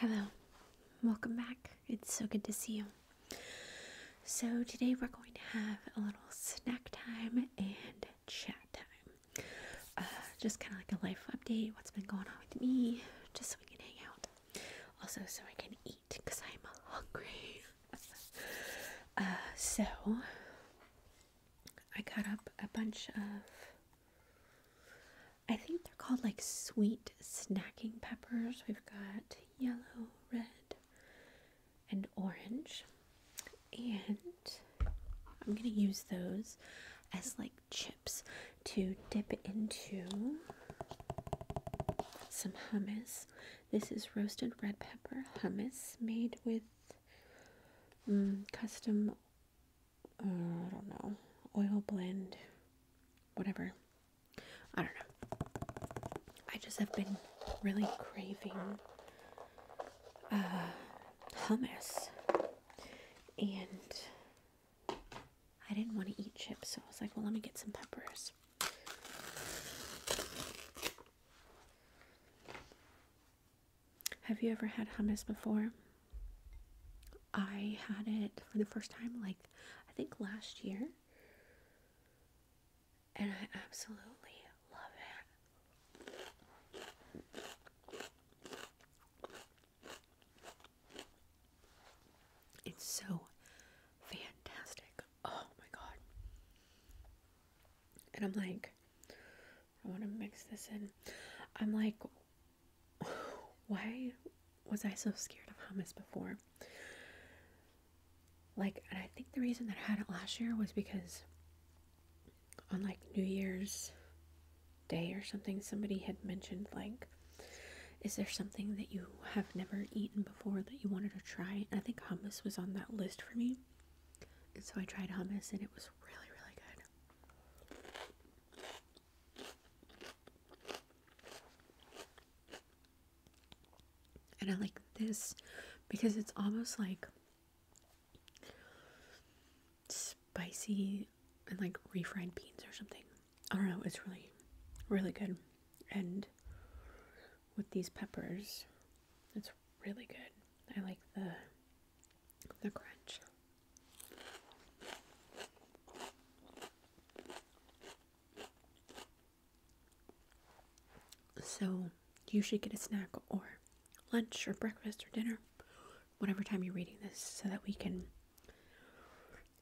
Hello, welcome back. It's so good to see you. So, today we're going to have a little snack time and chat time. Uh, just kind of like a life update, what's been going on with me, just so we can hang out. Also, so I can eat because I'm hungry. Uh, so, I cut up a bunch of, I think they're called like sweet snacking peppers. We've got yellow, red, and orange. And I'm going to use those as like chips to dip into some hummus. This is roasted red pepper hummus made with Mm, custom, uh, I don't know, oil blend, whatever. I don't know. I just have been really craving uh, hummus, and I didn't want to eat chips, so I was like, well, let me get some peppers. Have you ever had hummus before? I had it for the first time, like I think last year, and I absolutely love it. It's so fantastic. Oh my god. And I'm like, I want to mix this in. I'm like, why was I so scared of hummus before? Like, and I think the reason that I had it last year was because on like New Year's Day or something, somebody had mentioned, like, is there something that you have never eaten before that you wanted to try? And I think hummus was on that list for me. And so I tried hummus and it was really, really good. And I like this because it's almost like spicy and like refried beans or something. I don't know, it's really, really good. And with these peppers, it's really good. I like the the crunch. So you should get a snack or lunch or breakfast or dinner, whatever time you're reading this, so that we can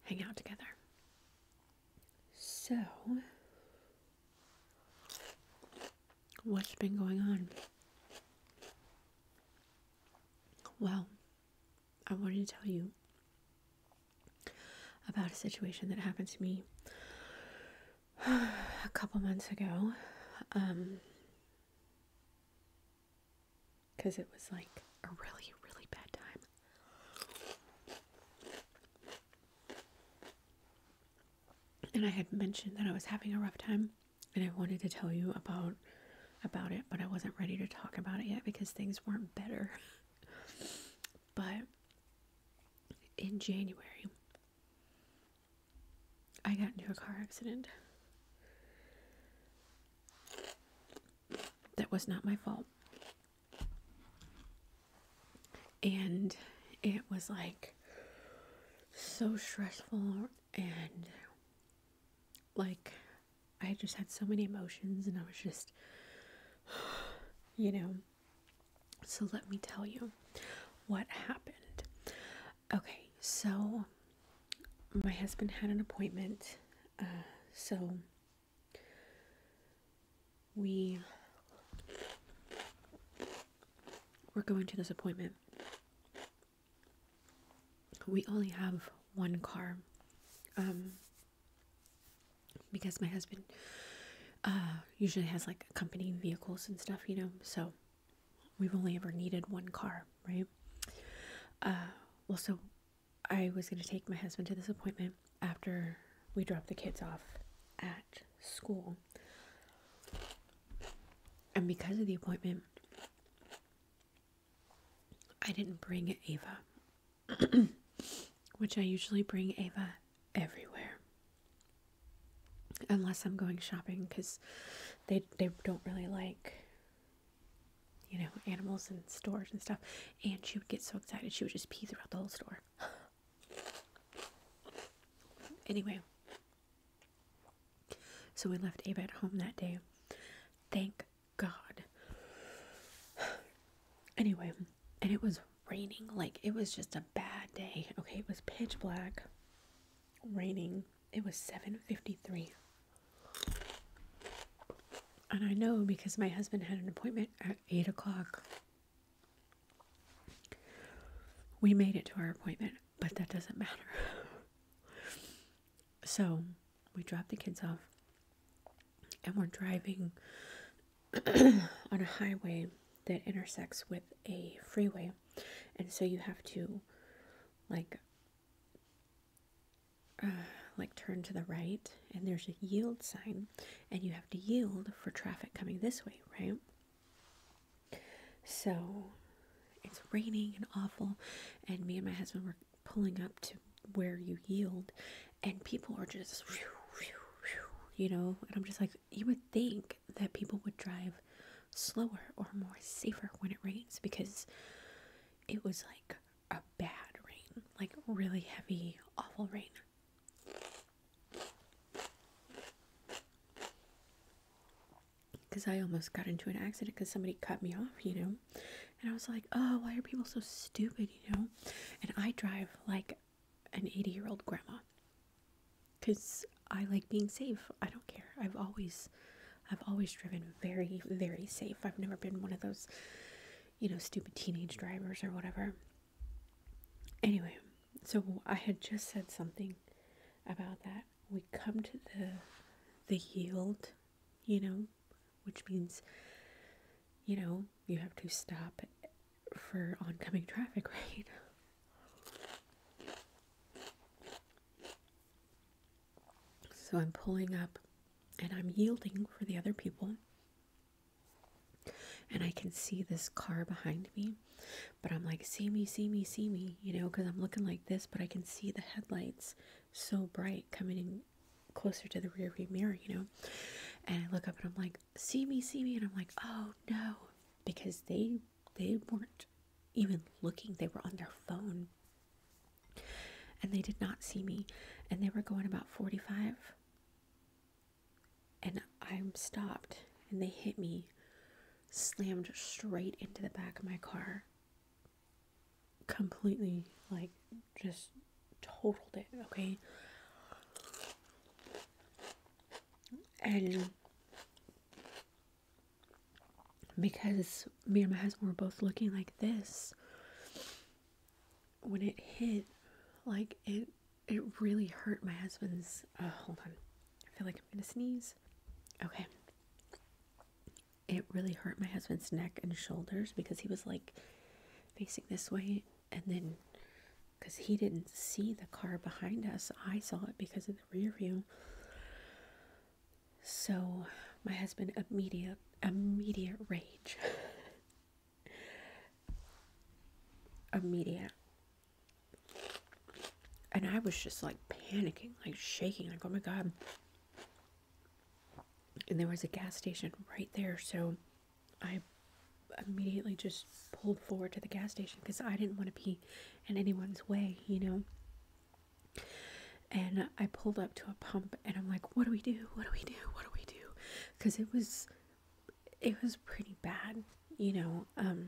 hang out together. So What's been going on? Well, I wanted to tell you about a situation that happened to me a couple months ago. because um, it was like a really, really bad time and I had mentioned that I was having a rough time and I wanted to tell you about about it, but I wasn't ready to talk about it yet because things weren't better. but in January, I got into a car accident. That was not my fault and it was like so stressful and like I just had so many emotions and I was just you know so let me tell you what happened okay so my husband had an appointment uh, so we we're going to this appointment. We only have one car. Um, because my husband uh, usually has like accompanying vehicles and stuff, you know, so we've only ever needed one car, right? Uh, well, so I was going to take my husband to this appointment after we dropped the kids off at school. And because of the appointment, I didn't bring Ava, which I usually bring Ava everywhere. Unless I'm going shopping because they, they don't really like, you know, animals in stores and stuff. And she would get so excited, she would just pee throughout the whole store. anyway, so we left Abe at home that day. Thank God. Anyway, and it was raining. Like, it was just a bad day. Okay, it was pitch black, raining. It was 7.53. And I know because my husband had an appointment at 8 o'clock we made it to our appointment, but that doesn't matter. so we dropped the kids off and we're driving on a highway that intersects with a freeway. And so you have to like uh, like turn to the right and there's a yield sign and you have to yield for traffic coming this way, right? So it's raining and awful, and me and my husband were pulling up to where you yield, and people are just, you know, and I'm just like, you would think that people would drive slower or more safer when it rains because it was like a bad rain, like really heavy, awful rain. Because I almost got into an accident because somebody cut me off, you know. And I was like, oh, why are people so stupid, you know? And I drive like an 80 year old grandma. Because I like being safe. I don't care. I've always. I've always driven very, very safe. I've never been one of those, you know, stupid teenage drivers or whatever. Anyway, so I had just said something about that. We come to the the yield, you know, which means you know, you have to stop for oncoming traffic, right? So I'm pulling up and I'm yielding for the other people. And I can see this car behind me but I'm like, see me, see me, see me, you know, because I'm looking like this, but I can see the headlights so bright coming closer to the rear view mirror, you know. And I look up and I'm like, see me, see me, and I'm like, oh no, because they they weren't even looking; they were on their phone, and they did not see me, and they were going about 45, and I'm stopped, and they hit me slammed straight into the back of my car. Completely, like, just totaled it, okay? And because me and my husband were both looking like this, when it hit, like, it it really hurt my husband's. Uh, hold on. I feel like I'm gonna sneeze. Okay. It really hurt my husband's neck and shoulders because he was like facing this way, and then because he didn't see the car behind us, I saw it because of the rear view. So my husband immediate immediate rage. immediate and I was just like panicking, like shaking, like, oh my God. And there was a gas station right there. So I immediately just pulled forward to the gas station because I didn't want to be in anyone's way, you know? And I pulled up to a pump and I'm like, what do we do? What do we do? What do we do? Because it was, it was pretty bad, you know? Um,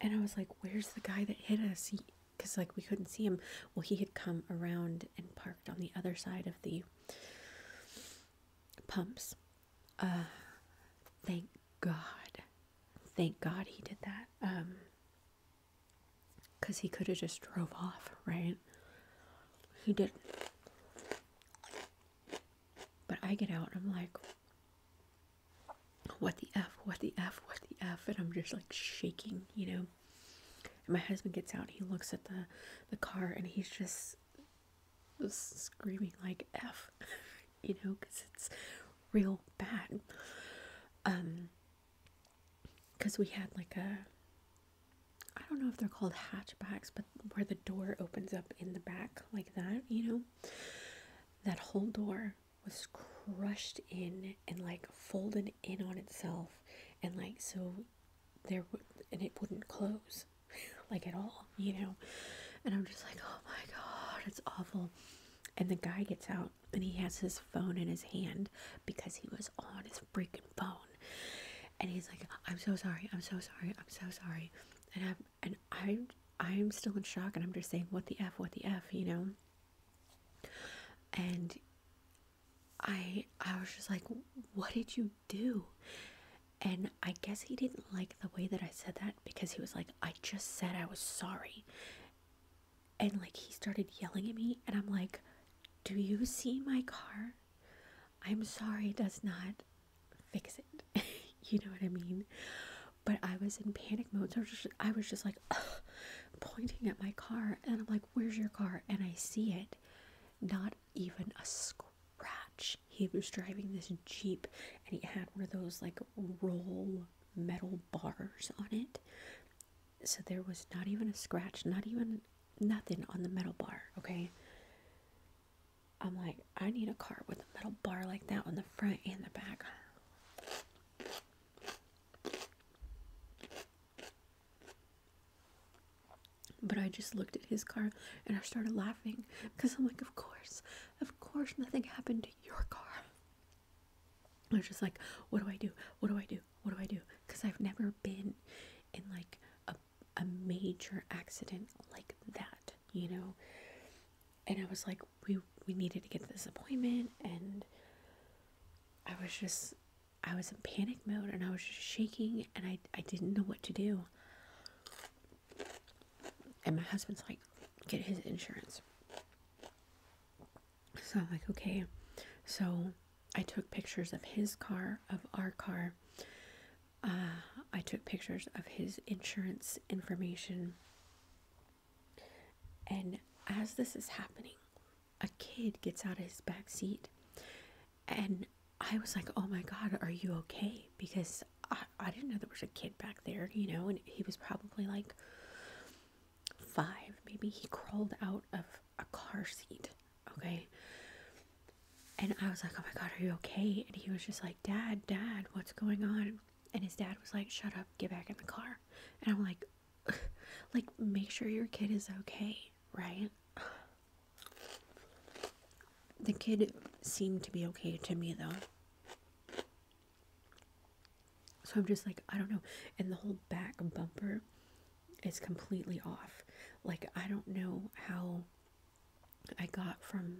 and I was like, where's the guy that hit us? Because, like, we couldn't see him. Well, he had come around and parked on the other side of the pumps. Uh, thank God. Thank God he did that. Um, because he could have just drove off, right? He did. But I get out and I'm like, what the F, what the F, what the F, and I'm just like shaking, you know. And my husband gets out, he looks at the, the car, and he's just screaming like F, you know, because it's real bad. Um, because we had like a, I don't know if they're called hatchbacks, but where the door opens up in the back like that, you know that whole door was crushed in and like folded in on itself, and like so there w- and it wouldn't close like at all, you know. And I'm just like, oh my god, it's awful. And the guy gets out and he has his phone in his hand because he was on his freaking phone. And he's like, I'm so sorry, I'm so sorry, I'm so sorry. And i and I'm I'm still in shock and I'm just saying what the F what the F you know and I I was just like what did you do and I guess he didn't like the way that I said that because he was like I just said I was sorry and like he started yelling at me and I'm like do you see my car I'm sorry it does not fix it. you know what I mean? But I was in panic mode. So I was just, I was just like pointing at my car, and I'm like, "Where's your car?" And I see it, not even a scratch. He was driving this jeep, and he had one of those like roll metal bars on it. So there was not even a scratch, not even nothing on the metal bar. Okay. I'm like, I need a car with a metal bar like that on the front and the back. But I just looked at his car and I started laughing because I'm like, of course, of course, nothing happened to your car. I was just like, what do I do? What do I do? What do I do? Because I've never been in like a, a major accident like that, you know? And I was like, we we needed to get this appointment and I was just I was in panic mode and I was just shaking and I, I didn't know what to do. And my husband's like, get his insurance. So I'm like, okay. So I took pictures of his car, of our car. Uh, I took pictures of his insurance information. And as this is happening, a kid gets out of his back seat. And I was like, oh my God, are you okay? Because I, I didn't know there was a kid back there, you know, and he was probably like five. Maybe he crawled out of a car seat, okay? And I was like, oh my God, are you okay? And he was just like, Dad, Dad, what's going on? and his dad was like shut up get back in the car and i'm like like make sure your kid is okay right the kid seemed to be okay to me though so i'm just like i don't know and the whole back bumper is completely off like i don't know how I got from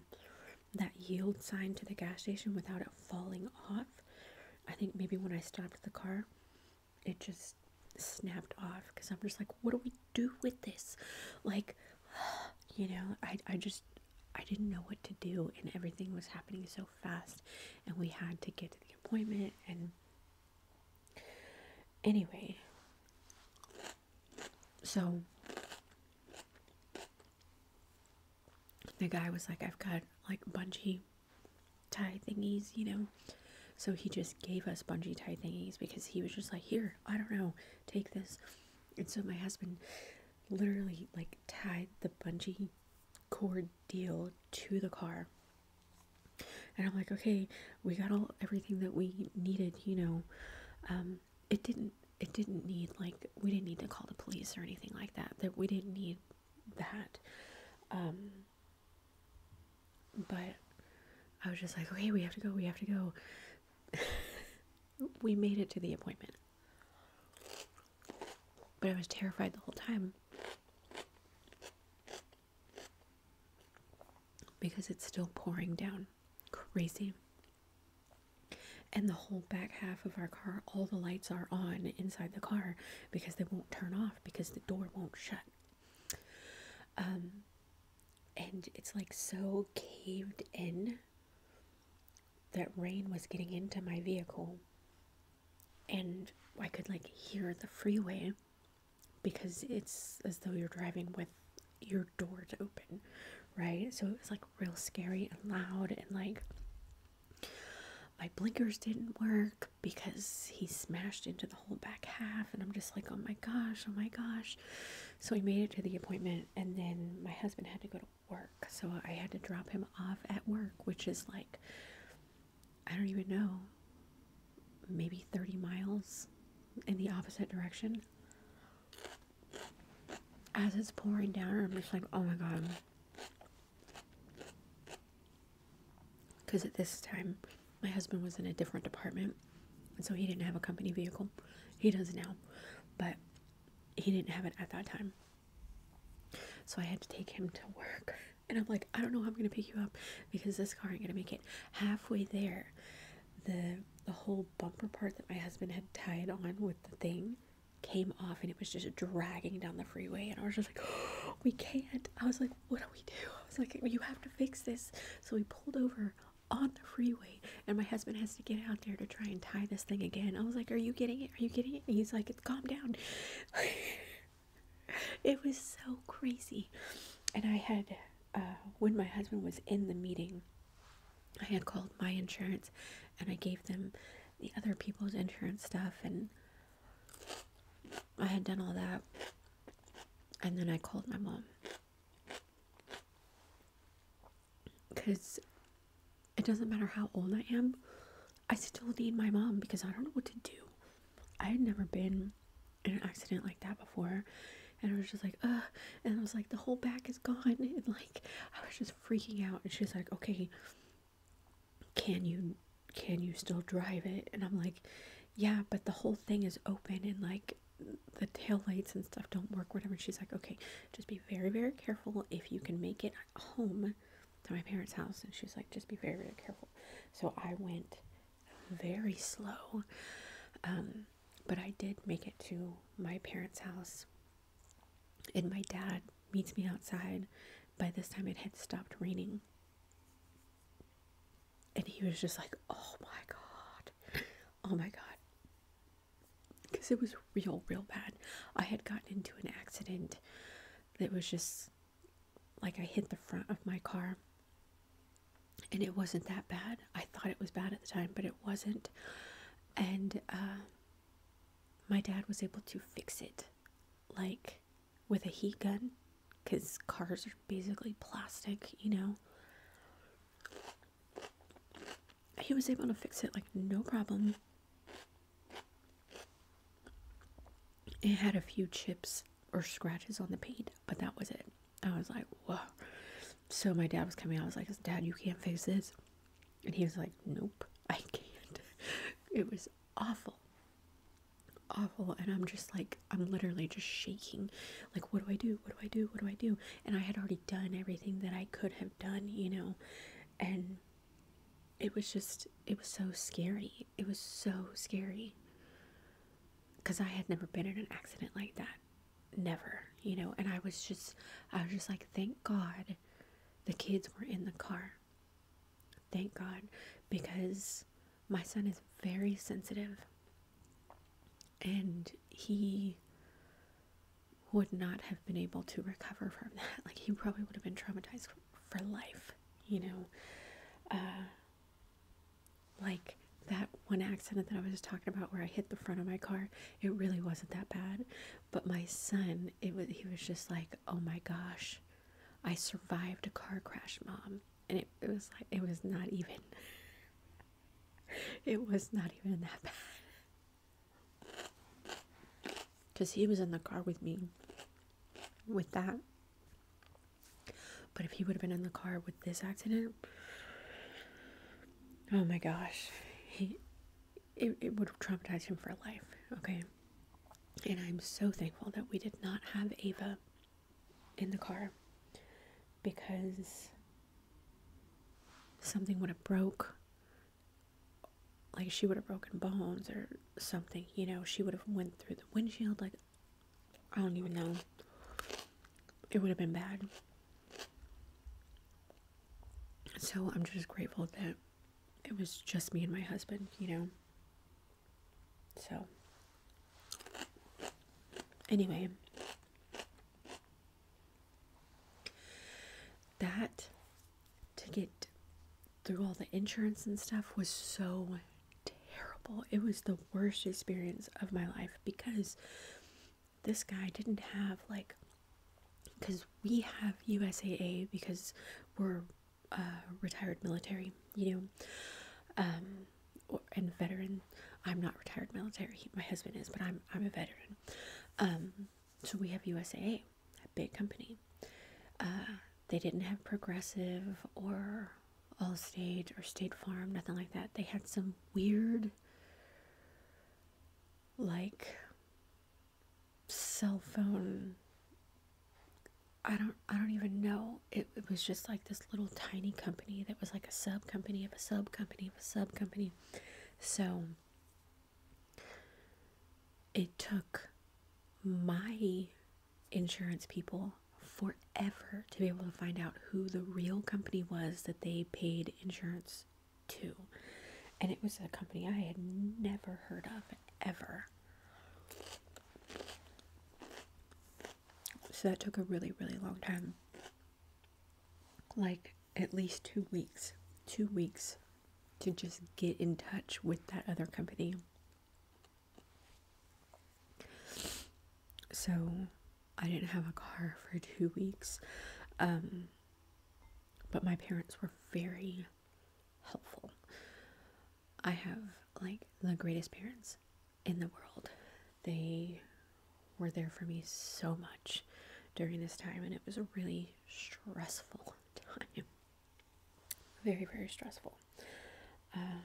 that yield sign to the gas station without it falling off. I think maybe when I stopped the car, it just snapped off because I'm just like, what do we do with this? Like, you know, I, I just, I didn't know what to do and everything was happening so fast and we had to get to the appointment and anyway. So the guy was like, I've got like bungee tie thingies, you know. So he just gave us bungee tie thingies because he was just like, Here, I don't know, take this. And so my husband literally like tied the bungee cord deal to the car. And I'm like, okay, we got all everything that we needed, you know. Um, it didn't it didn't need like we didn't need to call the police or anything like that that we didn't need that um, but i was just like okay we have to go we have to go we made it to the appointment but i was terrified the whole time because it's still pouring down crazy and the whole back half of our car, all the lights are on inside the car because they won't turn off because the door won't shut. Um, and it's like so caved in that rain was getting into my vehicle, and I could like hear the freeway because it's as though you're driving with your doors open right? So it was like real scary and loud, and like my blinkers didn't work because he smashed into the whole back half. And I'm just like, oh my gosh, oh my gosh. So we made it to the appointment, and then my husband had to go to work, so I had to drop him off at work, which is like I don't even know, maybe 30 miles in the opposite direction as it's pouring down, I'm just like, oh my god. Because at this time, my husband was in a different department, and so he didn't have a company vehicle. He does now, but he didn't have it at that time. So I had to take him to work. And I'm like, I don't know how I'm gonna pick you up because this car ain't gonna make it halfway there. The the whole bumper part that my husband had tied on with the thing came off and it was just dragging down the freeway and I was just like we can't I was like what do we do I was like you have to fix this so we pulled over on the freeway and my husband has to get out there to try and tie this thing again I was like are you getting it are you getting it and he's like it's calm down it was so crazy and I had uh, when my husband was in the meeting I had called my insurance and I gave them the other people's insurance stuff and I had done all that. And then I called my mom. Because it doesn't matter how old I am, I still need my mom because I don't know what to do. I had never been in an accident like that before. And I was just like, ugh. And I was like, the whole back is gone. And like, I was just freaking out and she's like okay can you can you still drive it and i'm like yeah but the whole thing is open and like the tail lights and stuff don't work whatever she's like okay just be very very careful if you can make it home to my parents house and she's like just be very very careful so i went very slow um, but i did make it to my parents house and my dad meets me outside. By this time, it had stopped raining. And he was just like, oh my God. Oh my God. Because it was real, real bad. I had gotten into an accident It was just like I hit the front of my car. And it wasn't that bad. I thought it was bad at the time, but it wasn't. And uh, my dad was able to fix it like with a heat gun because cars are basically plastic, you know. He was able to fix it like no problem. It had a few chips or scratches on the paint, but that was it. I was like, whoa. So my dad was coming. I was like, Dad, you can't fix this. And he was like, Nope, I can't. It was awful. Awful. And I'm just like, I'm literally just shaking. Like, what do I do? What do I do? What do I do? And I had already done everything that I could have done, you know. And it was just, it was so scary. It was so scary. Because I had never been in an accident like that never you know and i was just i was just like thank god the kids were in the car. Thank God, because my son is very sensitive and he would not have been able to recover from that. Like, he probably would have been traumatized for life, you know. Uh, like, that one accident that I was just talking about where I hit the front of my car, it really wasn't that bad. But my son, it was he was just like, oh my gosh, I survived a car crash, mom, and it, it was like it was not even. It was not even that bad. Because he was in the car with me with that. But if he would have been in the car with this accident, oh my gosh. He it, it would traumatize him for life, okay? And I'm so thankful that we did not have Ava in the car because something would have broke. Like she would have broken bones or something, you know, she would have went through the windshield like I don't even know. It would have been bad. So I'm just grateful that it was just me and my husband, you know. So, anyway, that to get through all the insurance and stuff was so terrible. It was the worst experience of my life because this guy didn't have like because we have USAA because we're uh, retired military, you know, um, or, and veteran. I'm not retired military. My husband is, but I'm I'm a veteran. Um, so we have USAA, a big company. Uh, they didn't have Progressive or Allstate or State Farm, nothing like that. They had some weird, like, cell phone I don't I don't even know. It, was just like this little tiny company that was like a sub company of a sub company of a sub company. So it took my insurance people forever to be able to find out who the real company was that they paid insurance two. And it was a company I had never heard of ever. So that took a really, really long time. Like at least two weeks. Two weeks to just get in touch with that other company. So I didn't have a car for two weeks. Um, but my parents were very helpful. I have like the greatest parents in the world. They were there for me so much during this time, and it was a really stressful time. Very, very stressful. Uh,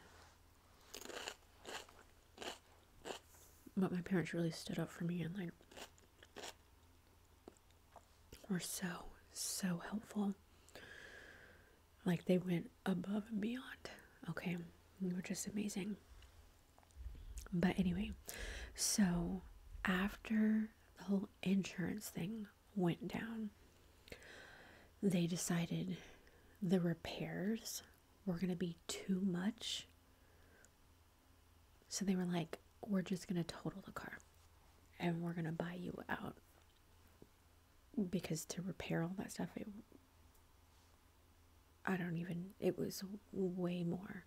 but my parents really stood up for me and like were so, so helpful. Like they went above and beyond. Okay. They were just amazing. But anyway, so after the whole insurance thing went down, they decided the repairs were going to be too much so they were like, we're just going to total the car and we're going to buy you out. Because to repair all that stuff, it, I don't even, it was way more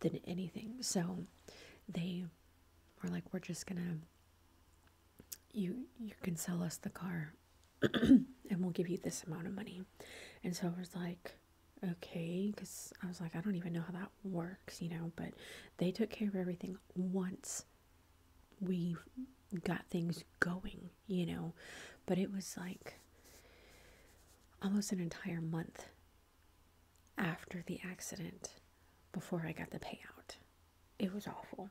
than anything. So they were like, we're just going to, you, you can sell us the car and we'll give you this amount of money. And so I was like, okay because i was like i don't even know how that works you know but they took care of everything once we got things going you know but it was like almost an entire month after the accident before i got the payout it was awful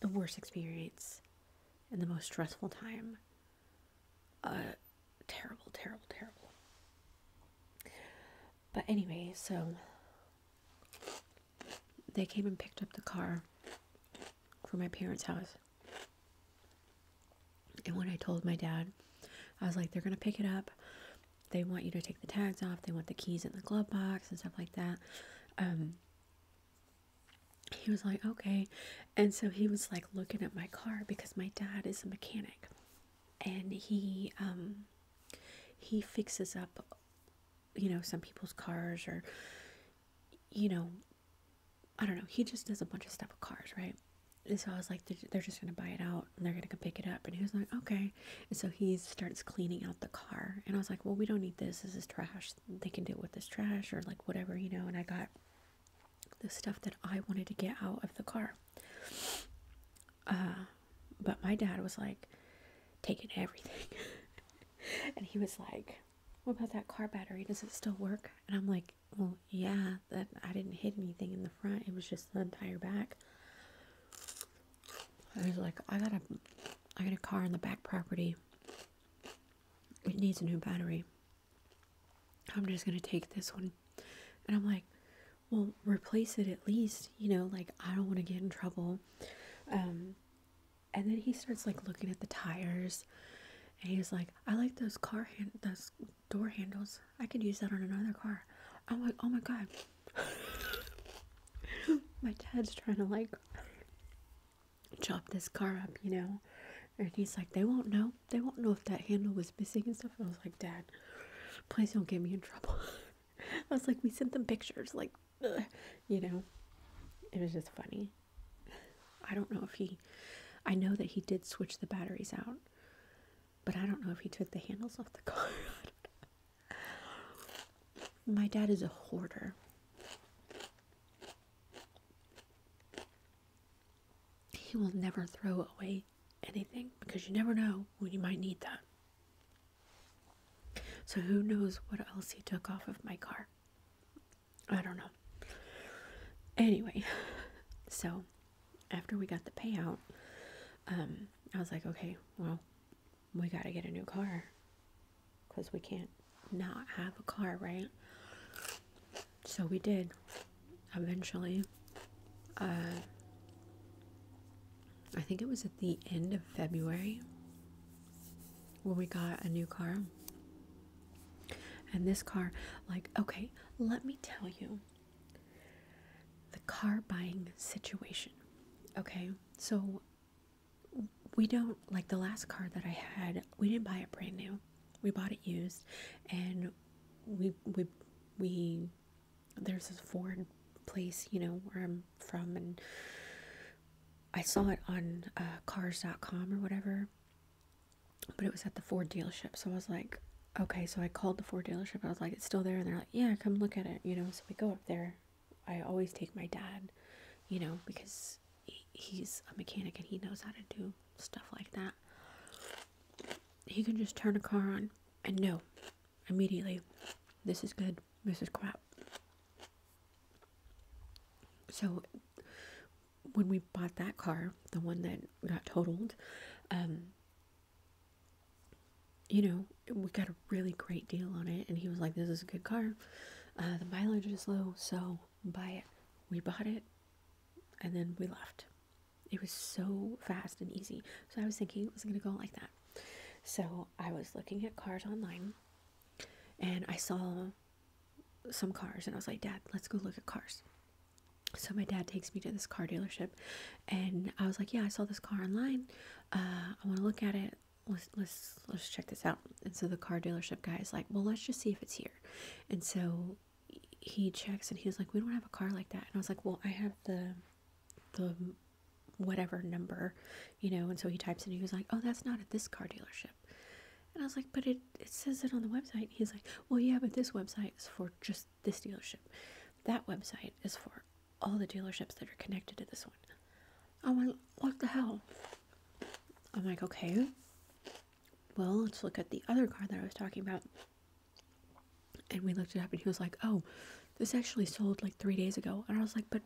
the worst experience and the most stressful time uh terrible, terrible, terrible. But anyway, so they came and picked up the car from my parents' house. And when I told my dad, I was like, they're going to pick it up. They want you to take the tags off. They want the keys in the glove box and stuff like that. Um, he was like, okay. And so he was like looking at my car because my dad is a mechanic and he um, he fixes up you know some people's cars or you know i don't know he just does a bunch of stuff with cars right and so i was like they're, they're just gonna buy it out and they're gonna go pick it up and he was like okay and so he starts cleaning out the car and i was like well we don't need this this is trash they can deal with this trash or like whatever you know and i got the stuff that I wanted to get out of the car. Uh, but my dad was like taking everything. and he was like, What about that car battery? Does it still work? And I'm like, Well, yeah, that I didn't hit anything in the front, it was just the entire back. I was like, I got a I got a car in the back property. It needs a new battery. I'm just gonna take this one. And I'm like, well replace it at least you know like i don't want to get in trouble um and then he starts like looking at the tires and he's like i like those car hand those door handles i could use that on another car i'm like oh my god my dad's trying to like chop this car up you know and he's like they won't know they won't know if that handle was missing and stuff. I was like, Dad, please don't get me in trouble. I was like, we sent them pictures, like, you know, it was just funny. I don't know if he, I know that he did switch the batteries out, but I don't know if he took the handles off the car. My dad is a hoarder he will never throw away anything because you never know when you might need that. So who knows what else he took off of my car? I don't know. Anyway, so after we got the payout, um, I was like, okay, well, we got to get a new car because we can't not have a car, right? So we did eventually. Uh, I think it was at the end of February when we got a new car. And this car, like, okay, let me tell you the car buying situation. Okay, so we don't, like, the last car that I had, we didn't buy it brand new. We bought it used and we, we, we there's this Ford place, you know, where I'm from, and I saw it on uh, cars.com or whatever, but it was at the Ford dealership. So I was like, okay, so I called the Ford dealership. I was like, it's still there. And they're like, yeah, come look at it, you know. So we go up there. I always take my dad, you know, because he's a mechanic and he knows how to do stuff like that. He can just turn a car on and no, immediately this is good, this is crap. So when we bought that car, the one that got totaled, um, you know, we got a really great deal on it. And he was like, this is a good car. Uh, the mileage is low, so buy it. We bought it and then we left. It was so fast and easy. So I was thinking it was going to go like that. So I was looking at cars online and I saw some cars and I was like, Dad, let's go look at cars. So my dad takes me to this car dealership and I was like, Yeah, I saw this car online. Uh, I want to look at it. Let's, let's let's check this out. And so the car dealership guy is like, well, let's just see if it's here. And so he checks and he's like, we don't have a car like that. And I was like, well, I have the, the whatever number, you know. And so he types in, he was like, oh, that's not at this car dealership. And I was like, but it, it says it on the website. he's like, well, yeah, but this website is for just this dealership. That website is for all the dealerships that are connected to this one. I'm like, what the hell? I'm like, okay, well, let's look at the other car that I was talking about. And we looked it up, and he was like, "Oh, this actually sold like three days ago." And I was like, "But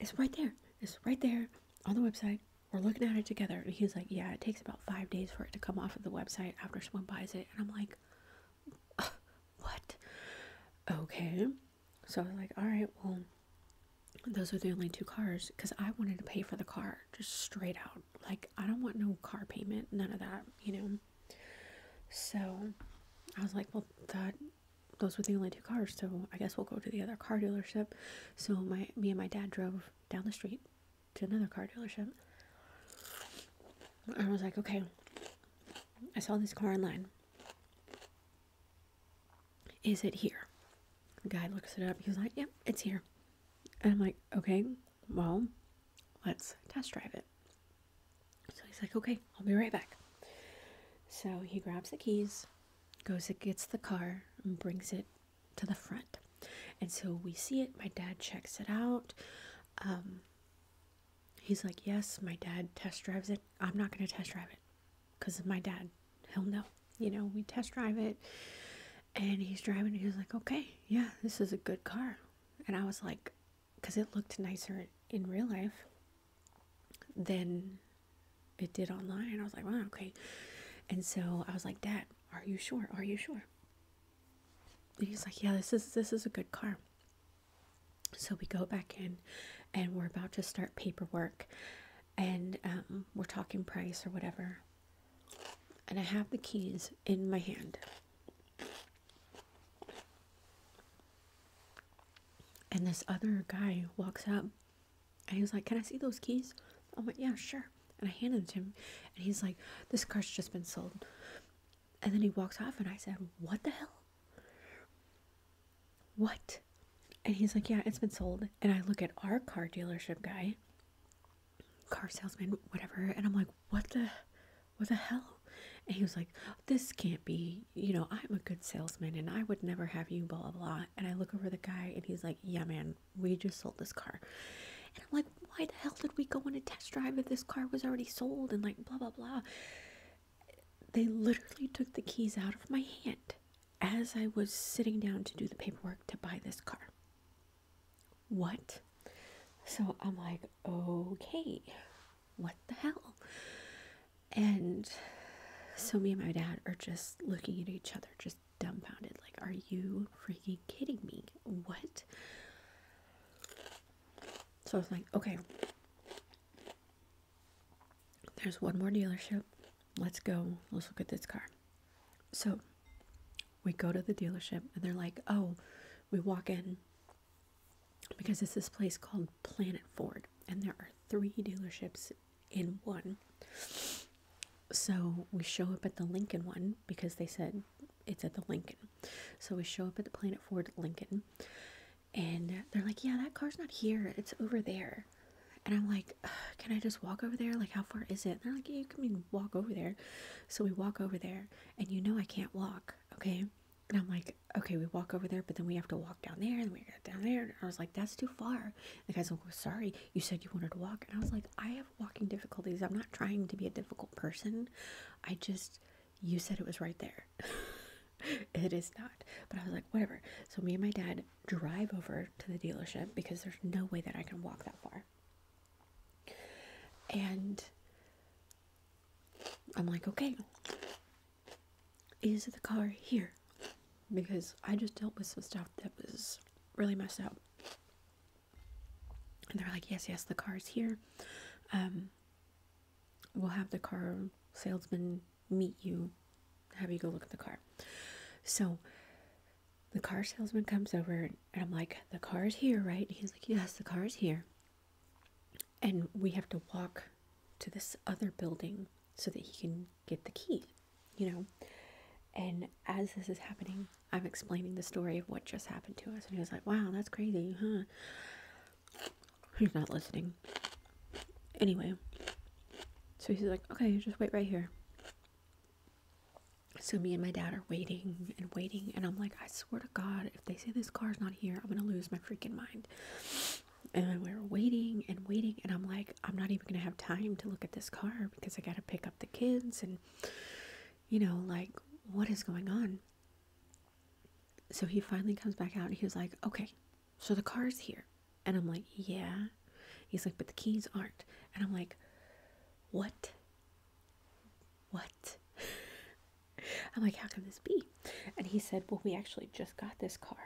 it's right there. It's right there on the website. We're looking at it together." And he's like, "Yeah, it takes about five days for it to come off of the website after someone buys it." And I'm like, "What? Okay." So I was like, "All right, well." Those are the only two cars because I wanted to pay for the car just straight out. Like, I don't want no car payment, none of that, you know. So I was like, well, that those were the only two cars, so I guess we'll go to the other car dealership. So my me and my dad drove down the street to another car dealership. I was like, okay, I saw this car online. Is it here? The guy looks it up. He's like, yep, it's here. And I'm like, okay, well, let's test drive it. So he's like, okay, I'll be right back. So he grabs the keys, goes and gets the car, and brings it to the front. And so we see it. My dad checks it out. Um, he's like, yes, my dad test drives it. I'm not going to test drive it because my dad. He'll know. You know, we test drive it. And he's driving. he's like, okay, yeah, this is a good car. And I was like, because it looked nicer in real life than it did online. I was like, wow, okay. And so I was like, Dad, are you sure? Are you sure? And he's like, Yeah, this is this is a good car. So we go back in and we're about to start paperwork and um, we're talking price or whatever. And I have the keys in my hand. And this other guy walks up and he's like, Can I see those keys? I'm like, Yeah, sure. And I handed him and he's like, This car's just been sold. And then he walks off and I said, What the hell? What? And he's like, Yeah, it's been sold. And I look at our car dealership guy, car salesman, whatever, and I'm like, What the what the hell? And he was like, this can't be, you know, I'm a good salesman and I would never have you, blah, blah, blah. And I look over the guy and he's like, yeah, man, we just sold this car. And I'm like, why the hell did we go on a test drive if this car was already sold and like, blah, blah, blah. They literally took the keys out of my hand as I was sitting down to do the paperwork to buy this car what? So I'm like, okay, what the hell? And so me and my dad are just looking at each other, just dumbfounded. Like, are you freaking kidding me? What? So I was like, okay, there's one more dealership. Let's go. Let's look at this car. So we go to the dealership and they're like, oh, we walk in because it's this place called Planet Ford, and there are three dealerships in one. So we show up at the Lincoln one because they said it's at the Lincoln. So we show up at the Planet Ford Lincoln, and they're like, Yeah, that car's not here, it's over there. And I'm like, Can I just walk over there? Like, how far is it? they're like, you can walk over there. So we walk over there, and you know I can't walk, okay? and I'm like, okay, we walk over there, but then we have to walk down there, and we get down there. And I was like, that's too far. the guy's like, sorry, you said you wanted to walk, and I was like, I have walking difficulties. I'm not trying to be a difficult person. I just, you said it was right there. it is not. But I was like, whatever. So me and my dad drive over to the dealership because there's no way that I can walk that far. And I'm like, okay, is the car here? Because I just dealt with some stuff that was really messed up. And they're like, yes, yes, the car is here. Um, we'll have the car salesman meet you, have you go look at the car. So the car salesman comes over, and I'm like, the car is here, right? he's like, yes, the car is here and we have to walk to this other building so that he can get the key, you know. And as this is happening, I'm explaining the story of what just happened to us, and he was like, Wow, that's crazy, huh? He's not listening. Anyway, so he's like, Okay, just wait right here. So me and my dad are waiting and waiting, and I'm like, I swear to God, if they say this car's not here, I'm gonna lose my freaking mind. And we are waiting and waiting, and I'm like, I'm not even gonna have time to look at this car because I gotta pick up the kids and you know, like what is going on? So he finally comes back out and he was like, Okay, so the car's here. And I'm like, Yeah. He's like, But the keys aren't. And I'm like, What? what? I'm like, how can this be? And he said, well, we actually just got this car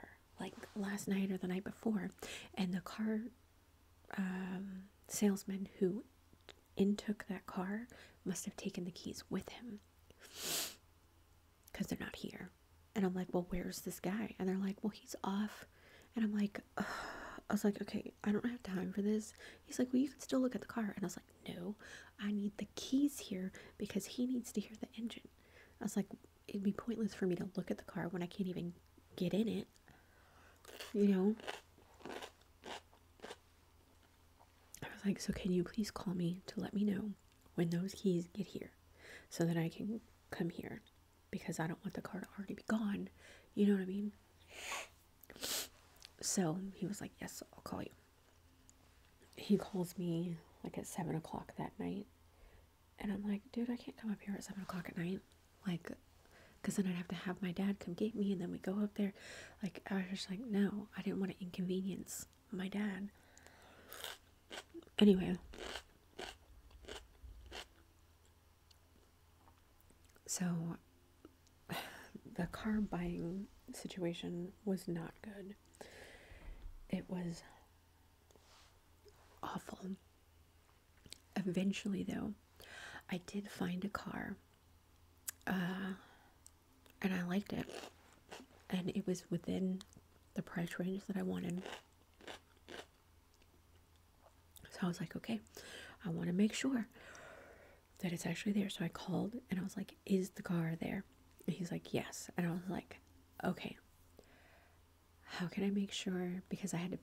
like last night or the night before. And the car um, salesman who in took that car must have taken the keys with him because they're not here. And I'm like, well, where's this guy? And they're like, well, he's off. And I'm like, I was like, okay, I don't have time for this. He's like, well, you can still look at the car. And I was like, no, I need the keys here because he needs to hear the engine. I was like, it'd be pointless for me to look at the car when I can't even get in it. You know? I was like, so can you please call me to let me know when those keys get here so that I can come here because I don't want the car to already be gone. You know what I mean? So he was like, yes, I'll call you he calls me like at seven o'clock that night, and I'm like, dude, I can't come up here at seven o'clock at night, like, because then I'd have to have my dad come get me, and then we go up there. Like, I was like, no, I didn't want to inconvenience my dad. Anyway, so the car buying situation was not good. It was awful. Eventually, though, I did find a car. Uh, and I liked it. And it was within the price range that I wanted. So I was like, okay, I want to make sure that it's actually there. So I called and I was like, Is the car there? And he's like, Yes. And I was like, Okay, how can I make sure? Because I had to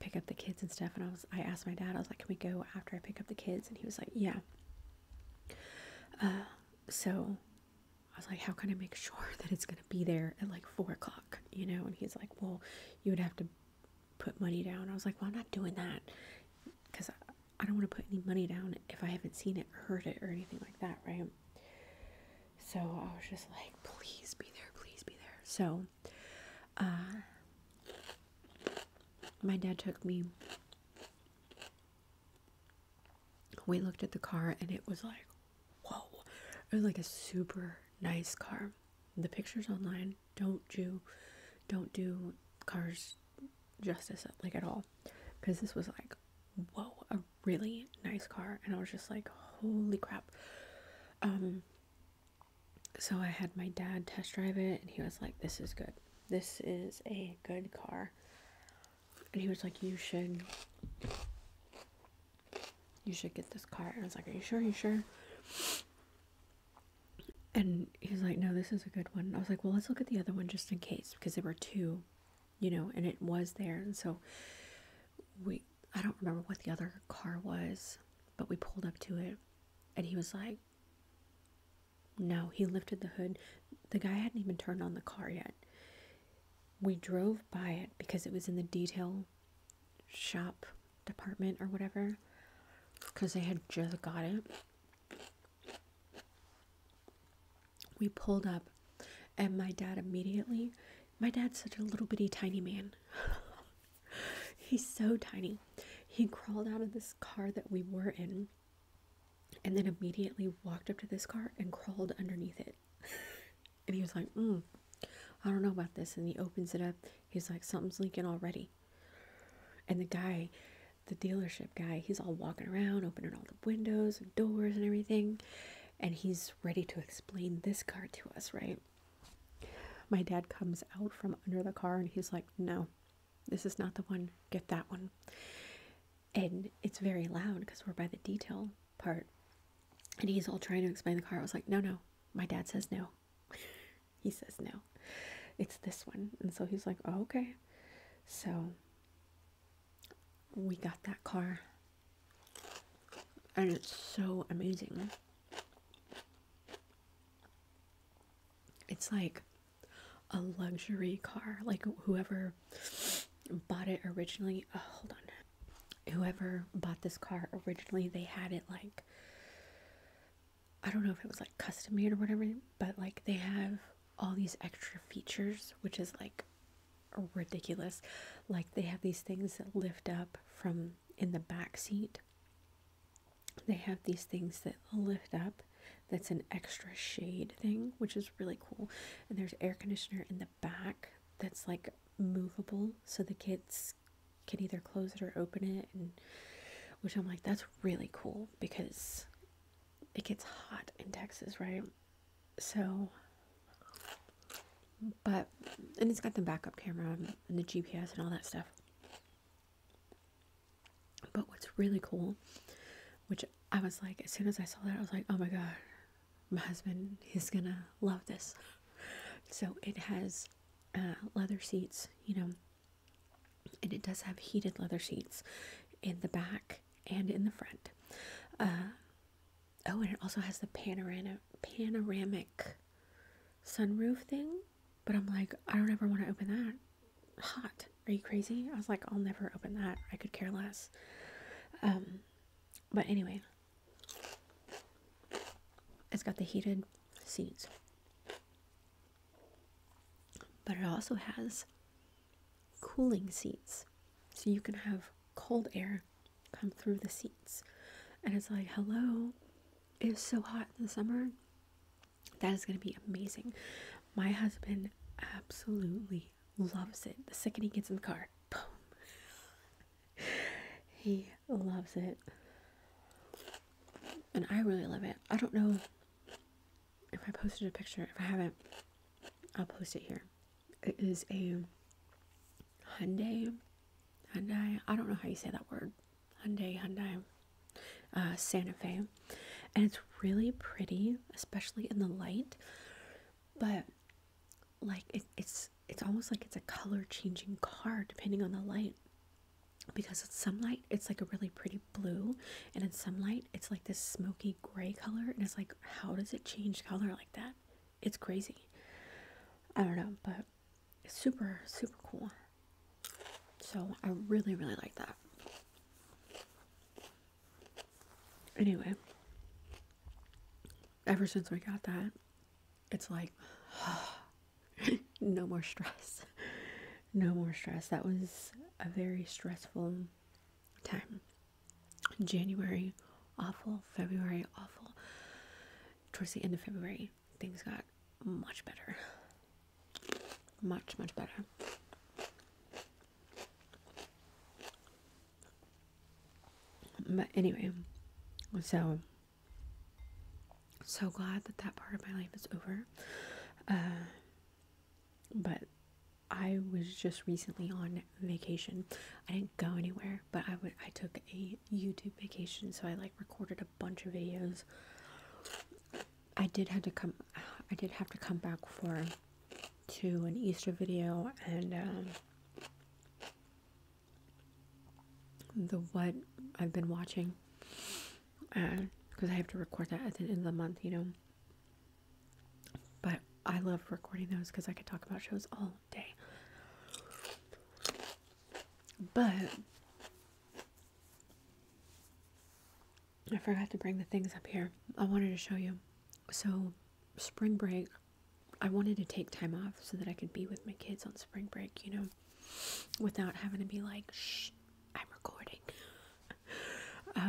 pick up the kids and stuff. And I was, I asked my dad, I was like, Can we go after I pick up the kids? And he was like, Yeah. Uh, so I was like, How can I make sure that it's going to be there at like four o'clock? You know? And he's like, Well, you would have to put money down. I was like, Well, I'm not doing that because I don't want to put any money down if I haven't seen it or heard it or anything like that, right? So I was just like, please be there, please be there. So uh, my dad took me we looked at the car and it was like whoa it was like a super nice car the pictures online don't do don't do cars justice like at all because this was like whoa a really nice car and i was just like holy crap um, so i had my dad test drive it and he was like this is good this is a good car and he was like you should you should get this car i was like are you sure you sure and he was like, no, this is a good one. I was like, well, let's look at the other one just in case because there were two, you know, and it was there. And so we, I don't remember what the other car was, but we pulled up to it and he was like, no, he lifted the hood. The guy hadn't even turned on the car yet. We drove by it because it was in the detail shop department or whatever because they had just got it. We pulled up, and my dad immediately, my dad's such a little bitty tiny man. He's so tiny. He crawled out of this car that we were in and then immediately walked up to this car and crawled underneath it. and he was like, mm, I don't know about this. And he opens it up. He's like, something's leaking already. And the guy, the dealership guy, he's all walking around, opening all the windows and doors and everything. And he's ready to explain this car to us, right? My dad comes out from under the car and he's like, No, this is not the one. Get that one. And it's very loud because we're by the detail part. And he's all trying to explain the car. I was like, No, no. My dad says no. he says no it's this one. And so he's like, oh, okay. So we got that car. And it's so amazing. It's like a luxury car. Like whoever bought it originally, oh, hold on. Whoever bought this car originally, they had it like I don't know if it was like custom made or whatever, but like they have all these extra features, which is like ridiculous. Like they have these things that lift up from in the back seat. They have these things that lift up. That's an extra shade thing, which is really cool. And there's air conditioner in the back that's like movable, so the kids can either close it or open it and which I'm like that's really cool because it gets hot in Texas, right? So, but, and it's got the backup camera and the GPS and all that stuff. But what's really cool, which I was like, as soon as I saw that, I was like, oh my God, my husband is gonna love this. So it has uh, leather seats, you know, and it does have heated leather seats in the back and in the front. Uh, oh, and it also has the panorama panoramic sunroof thing. But I'm like, I don't ever want to open that. Hot. Are you crazy? I was like, I'll never open that. I could care less. Um, but anyway, it's got the heated seats. But it also has cooling seats. So you can have cold air come through the seats. And it's like, hello, it is so hot in the summer. That is going to be amazing. My husband absolutely loves it. The second he gets in the car, boom. he loves it. And I really love it. I don't know if I posted a picture, if I haven't, I'll post it here. It is a Hyundai, Hyundai, I don't know how you say that word, Hyundai, Hyundai, uh, Santa Fe. And it's really pretty, especially in the light, but like it's, it's almost like it's a color changing car depending on the light because it's sunlight it's like a really pretty blue and in sunlight it's like this smoky gray color and it's like how does it change color like that it's crazy i don't know but it's super super cool so i really really like that anyway ever since we got that it's like no more stress no more stress that was a very stressful time. January awful, February awful. Towards the end of February, things got much better. Much, much better. But anyway, so so glad that that part of my life is over. Uh, but I was just recently on vacation. I didn't go anywhere, but I would I took a YouTube vacation, so I like recorded a bunch of videos. I did have to come I did have to come back for to an Easter video and um, the what I've been watching because uh, I have to record that at the end of the month, you know. But I love recording those because I could talk about shows all day. But I forgot to bring the things up here. I wanted to show you. So, spring break, I wanted to take time off so that I could be with my kids on spring break, you know, without having to be like, shh, I'm recording because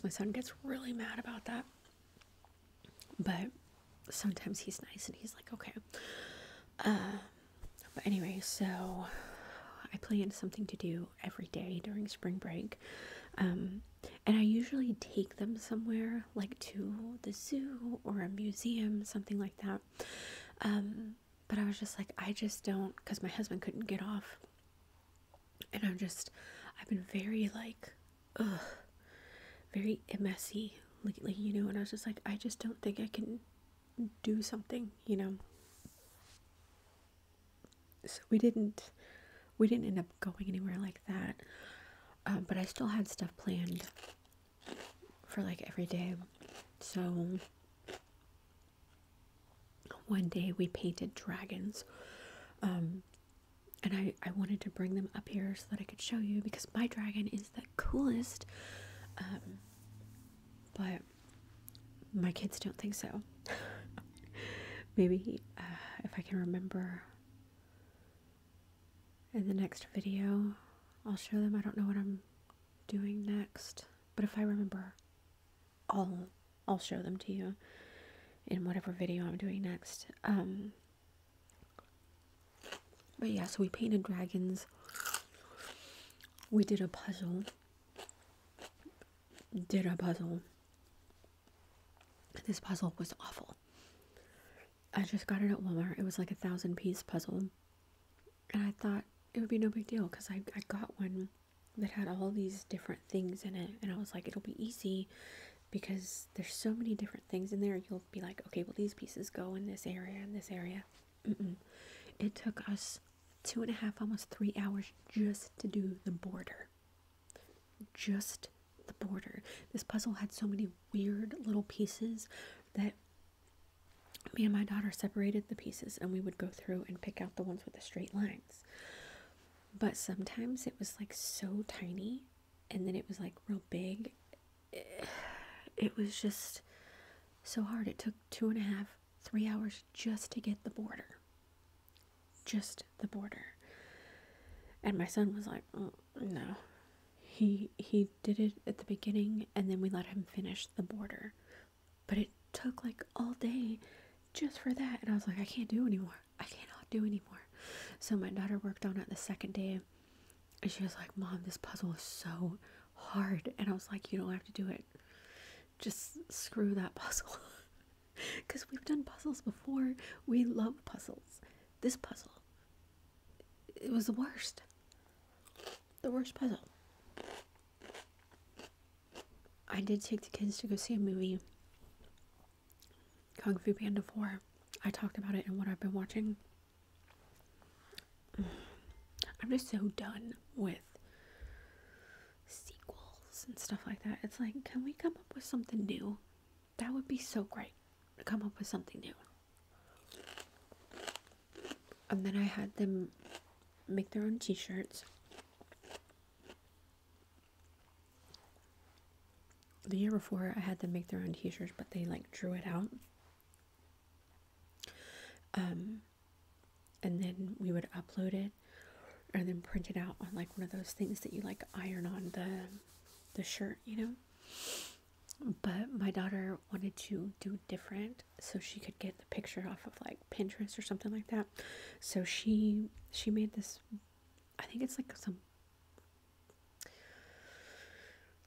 um, my son gets really mad about that. But sometimes he's nice and he's like, okay. Um, but anyway, so I plan something to do every day during spring break. Um, and I usually take them somewhere, like to the zoo or a museum, something like that. but I was just like, I just don't, because my husband couldn't get off and I'm just I've been very like very messy lately, you know, and I was just like I just don't think I can do something, you know. So we didn't we didn't end up going anywhere like that. Um, but I still had stuff planned for like every day. So one day we painted dragons. Um, and I, I wanted to bring them up here so that I could show you because my dragon is the coolest. Um, but my kids don't think so. Maybe uh, if I can remember in the next video, I'll show them. I don't know what I'm doing next, but if I remember, I'll I'll show them to you in whatever video I'm doing next. Um, but yeah, so we painted dragons. We did a puzzle. Did a puzzle. This puzzle was awful. I just got it at Walmart. It was like a thousand piece puzzle. And I thought it would be no big deal because I, I got one that had all these different things in it and i was like it'll be easy because there's so many different things in there you'll be like okay well these pieces go in this area and this area it took us two and a half almost three hours just to do the border just the border this puzzle had so many weird little pieces that me and my daughter separated the pieces and we would go through and pick out the ones with the straight lines but sometimes it was like so tiny and then it was like real big. It was just so hard. It took two and a half, three hours just to get the border. Just the border. And my son was like, mm, no. He he did it at the beginning and then we let him finish the border. But it took like all day just for that. And I was like, I can't do anymore. I cannot do anymore. So my daughter worked on it the second day. And she was like, Mom, this puzzle is so hard. And I was like, You don't have to do it. Just screw that puzzle. Because we've done puzzles before. We love puzzles. This puzzle, it was the worst. The worst puzzle. I did take the kids to go see a movie, Kung Fu Panda 4. I talked about it and what I've been watching. I'm just so done with sequels and stuff like that. It's like, can we come up with something new? That would be so great to come up with something new. And then I had them make their own t shirts the year before I had them make their own t-shirts but they like drew it out um and then we would upload it and then print it out on like one of those things that you like iron on the the shirt you know but my daughter wanted to do different so she could get the picture off of like Pinterest or something like that. So she she made this I think it's like some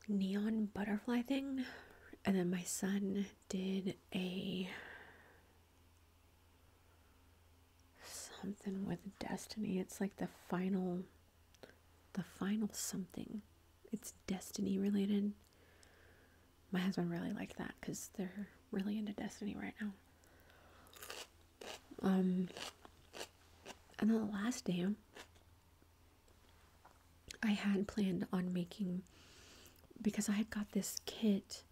neon butterfly thing. And then my son did a something with destiny. It's like the final the final something. It's destiny related. My husband really liked that because they're really into Destiny right now. Um, and then the last day, I had planned on making because I had got this kit.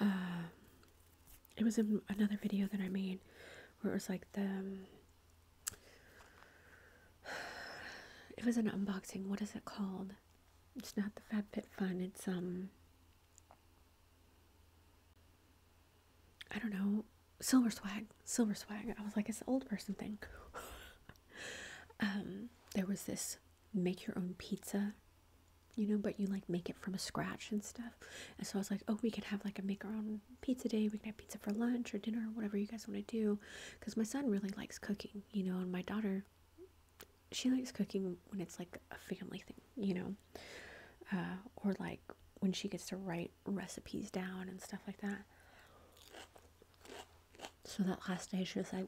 Uh, it was in another video that I made where it was like the. Um, it was an unboxing. What is it called? It's not the FabFitFun. It's um I don't know, silver swag, silver swag. I was like, it's an old person thing. um, there was this make your own pizza, you know, but you like make it from a scratch and stuff. And so I was like, oh, we could have like a make our own pizza day. We can have pizza for lunch or dinner or whatever you guys want to do. Because my son really likes cooking, you know, and my daughter she likes cooking when it's like a family thing, you know, uh, or like when she gets to write recipes down and stuff like that. So that last day, she was like,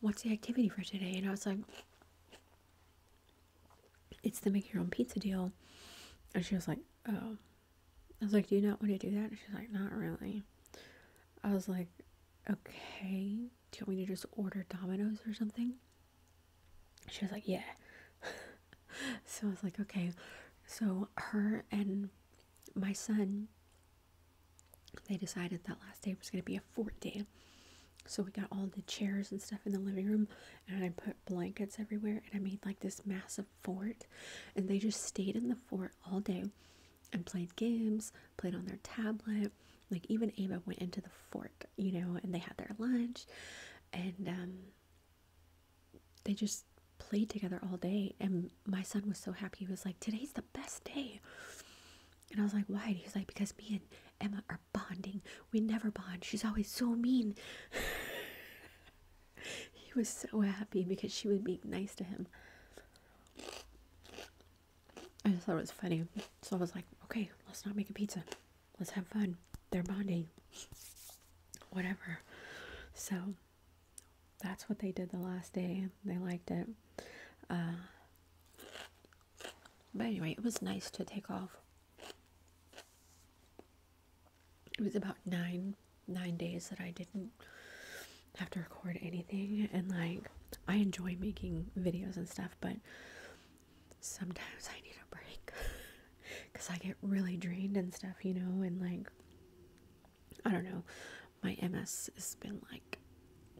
What's the activity for today? And I was like, It's the make your own pizza deal. And she was like, Oh. I was like, Do you not want to do that? And she's like, Not really. I was like, Okay do you want me to just order Dominoes or something? She was like, yeah. so I was like, okay. So her and my son, they decided that last day was going to be a fort day. So we got all the chairs and stuff in the living room, and I put blankets everywhere, and I made like this massive fort. And they just stayed in the fort all day and played games, played on their tablet, like even Ava went into the fort, you know, and they had their lunch, and um, they just played together all day. And my son was so happy. He was like, "Today's the best day." And I was like, "Why?" And he was like, "Because me and Emma are bonding. We never bond. She's always so mean." he was so happy because she would be nice to him. I just thought it was funny. So I was like, okay, let's not make a pizza. Let's have fun. They're bonding. Whatever. So that's what they did the last day. They liked it. Uh, but anyway, it was nice to take off. It was about nine nine days that I didn't have to record anything and like I enjoy making videos and stuff, but sometimes I need a break because I get really drained and stuff, you know, and like, I don't know, my MS has been like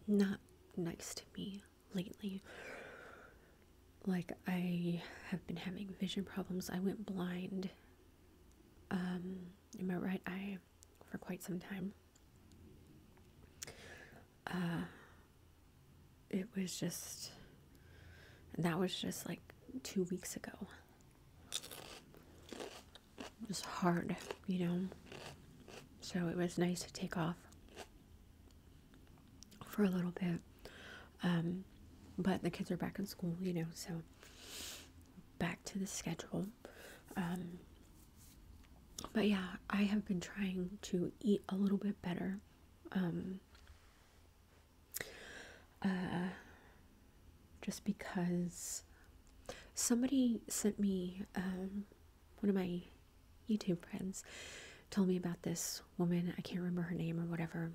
not nice to me lately. Like, I have been having vision problems. I went blind um, in my right eye for quite some time. Uh, it was just that was just like two weeks ago. It was hard, you know. So it was nice to take off for a little bit. Um, but the kids are back in school, you know, so back to the schedule. Um, but yeah, I have been trying to eat a little bit better. Um, uh, just because somebody sent me, um, one of my YouTube friends told me about this woman. I can't remember her name or whatever.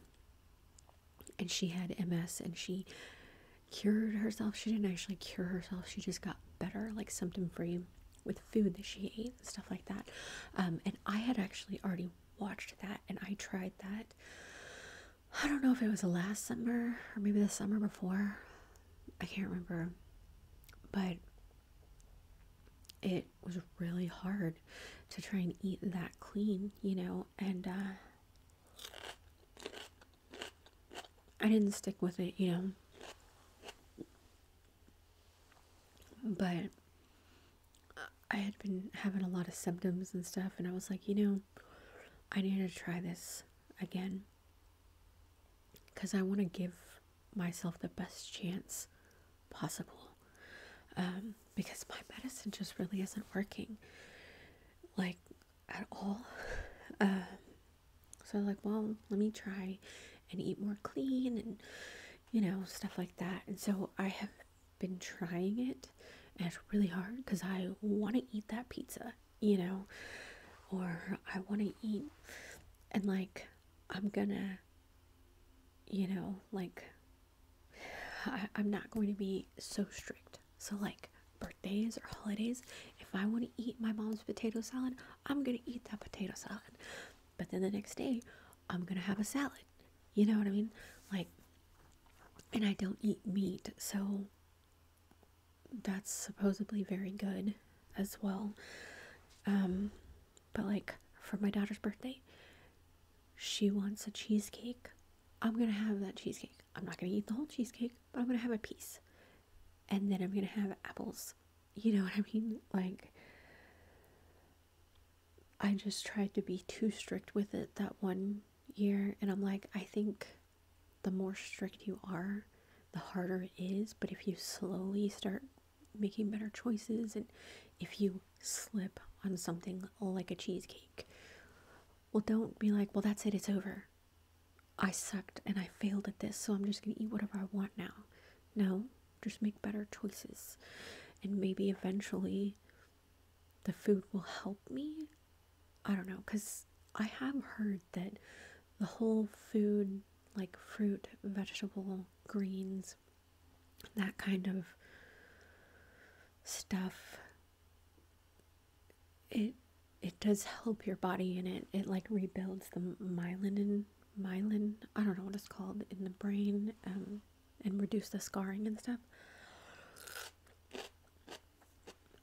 And she had MS and she cured herself. She didn't actually cure herself, she just got better, like symptom free with food that she ate and stuff like that. Um, and I had actually already watched that and I tried that. I don't know if it was the last summer or maybe the summer before. I can't remember. But it was really hard to try and eat that clean, you know, and uh, I didn't stick with it, you know. But I had been having a lot of symptoms and stuff, and I was like, you know, I need to try this again because I want to give myself the best chance possible um, because my medicine just really isn't working like at all. Um, so like, well, let me try and eat more clean and you know, stuff like that. And so I have been trying it, and it's really hard because I want to eat that pizza, you know, or I want to eat, and like, I'm gonna, you know, like, I, I'm not going to be so strict. So, like, birthdays or holidays, if I want to eat my mom's potato salad, I'm going to eat that potato salad but then the next day I'm gonna have a salad. You know what I mean? Like, and I don't eat meat, so that's supposedly very good as well. Um, but like for my daughter's birthday, she wants a cheesecake. I'm gonna have that cheesecake. I'm not gonna eat the whole cheesecake, but I'm gonna have a piece. And then I'm gonna have apples you know what I mean? Like, I just tried to be too strict with it that one year, and I'm like, I think the more strict you are, the harder it is. But if you slowly start making better choices, and if you slip on something like a cheesecake, well, don't be like, well, that's it, it's over. I sucked and I failed at this, so I'm just gonna eat whatever I want now. No, just make better choices. And maybe eventually the food will help me. I don't know, because I have heard that the whole food, like fruit, vegetable, greens, that kind of stuff, it it does help your body and it, it like rebuilds the myelin myelin, I don't know what it's called, in the brain um, and reduce the scarring and stuff.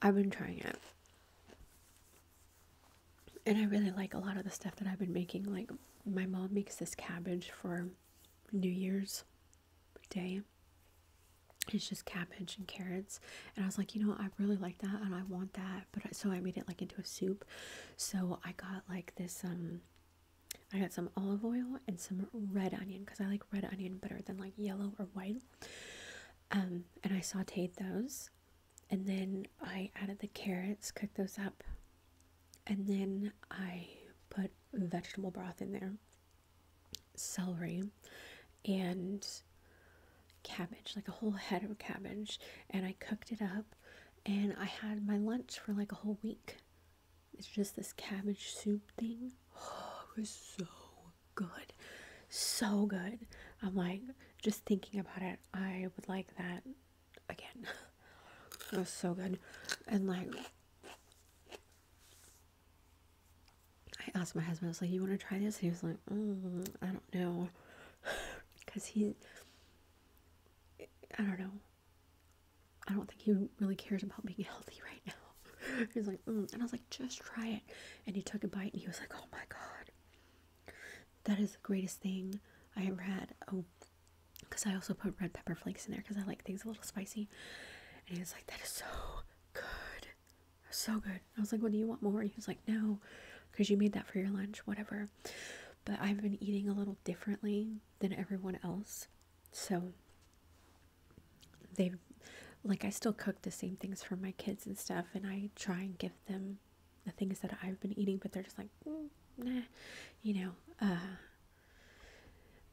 I've been trying it. And I really like a lot of the stuff that I've been making. Like, my mom makes this cabbage for New Year's Day. It's just cabbage and carrots. And I was like, you know, I really like that and I want that. But so I made it like into a soup. So I got like this, um, I got some olive oil and some red onion because I like red onion better than like yellow or white. Um, and I sauteed those and then I added the carrots, cooked those up, and then I put vegetable broth in there, celery, and cabbage, like a whole head of cabbage. And I cooked it up and I had my lunch for like a whole week. It's just this cabbage soup thing. Oh, it was so good. So good. I'm like, just thinking about it, I would like that again. it was so good. And like, I asked my husband, I was like, you want to try this? he was like, mm, I don't know. Because he, I don't know. I don't think he really cares about being healthy right now. He's like, mm, and I was like, just try it. And he took a bite and he was like, oh my God, that is the greatest thing I ever had. Oh, because I also put red pepper flakes in there because I like things a little spicy. And he was like, that is so good. So good. I was like, what do you want more? And he was like, no, because you made that for your lunch, whatever. But I've been eating a little differently than everyone else. So they've like I still cook the same things for my kids and stuff and I try and give them the things that I've been eating, but they're just like, mm, nah, you know. Uh,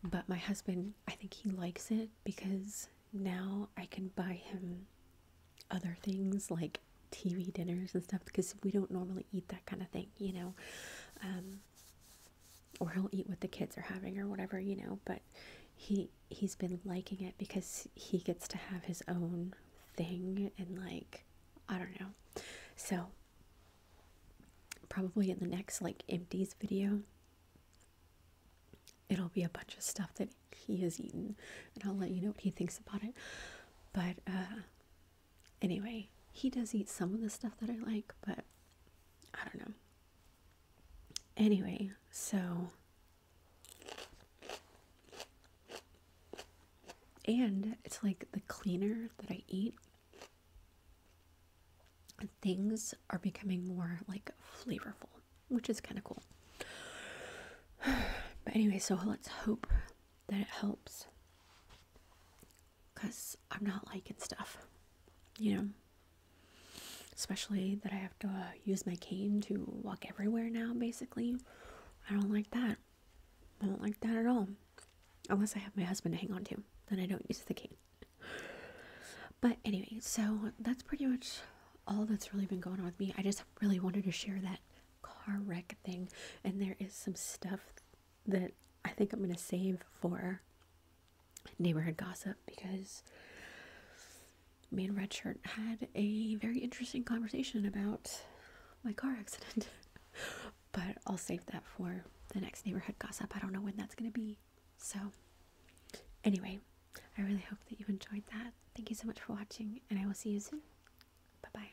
but my husband, I think he likes it because now I can buy him other things like TV dinners and stuff because we don't normally eat that kind of thing, you know. Um, or he'll eat what the kids are having or whatever, you know. But he he's been liking it because he gets to have his own thing and like I don't know. So probably in the next like empties video it'll be a bunch of stuff that he has eaten and I'll let you know what he thinks about it. But uh Anyway, he does eat some of the stuff that I like, but I don't know. Anyway, so. And it's like the cleaner that I eat, things are becoming more like flavorful, which is kind of cool. But anyway, so let's hope that it helps because I'm not liking stuff, you know. Especially that I have to use my cane to walk everywhere now, basically. I don't like that. I don't like that at all. Unless I have my husband to hang on to, then I don't use the cane. But anyway, so that's pretty much all that's really been going on with me. I just really wanted to share that car wreck thing, and there is some stuff that I think I'm going to save for neighborhood gossip because me and Redshirt had a very interesting conversation about my car accident. but I'll save that for the next neighborhood gossip. I don't know when that's going to be. So, anyway, I really hope that you enjoyed that. Thank you so much for watching, and I will see you soon. Bye bye.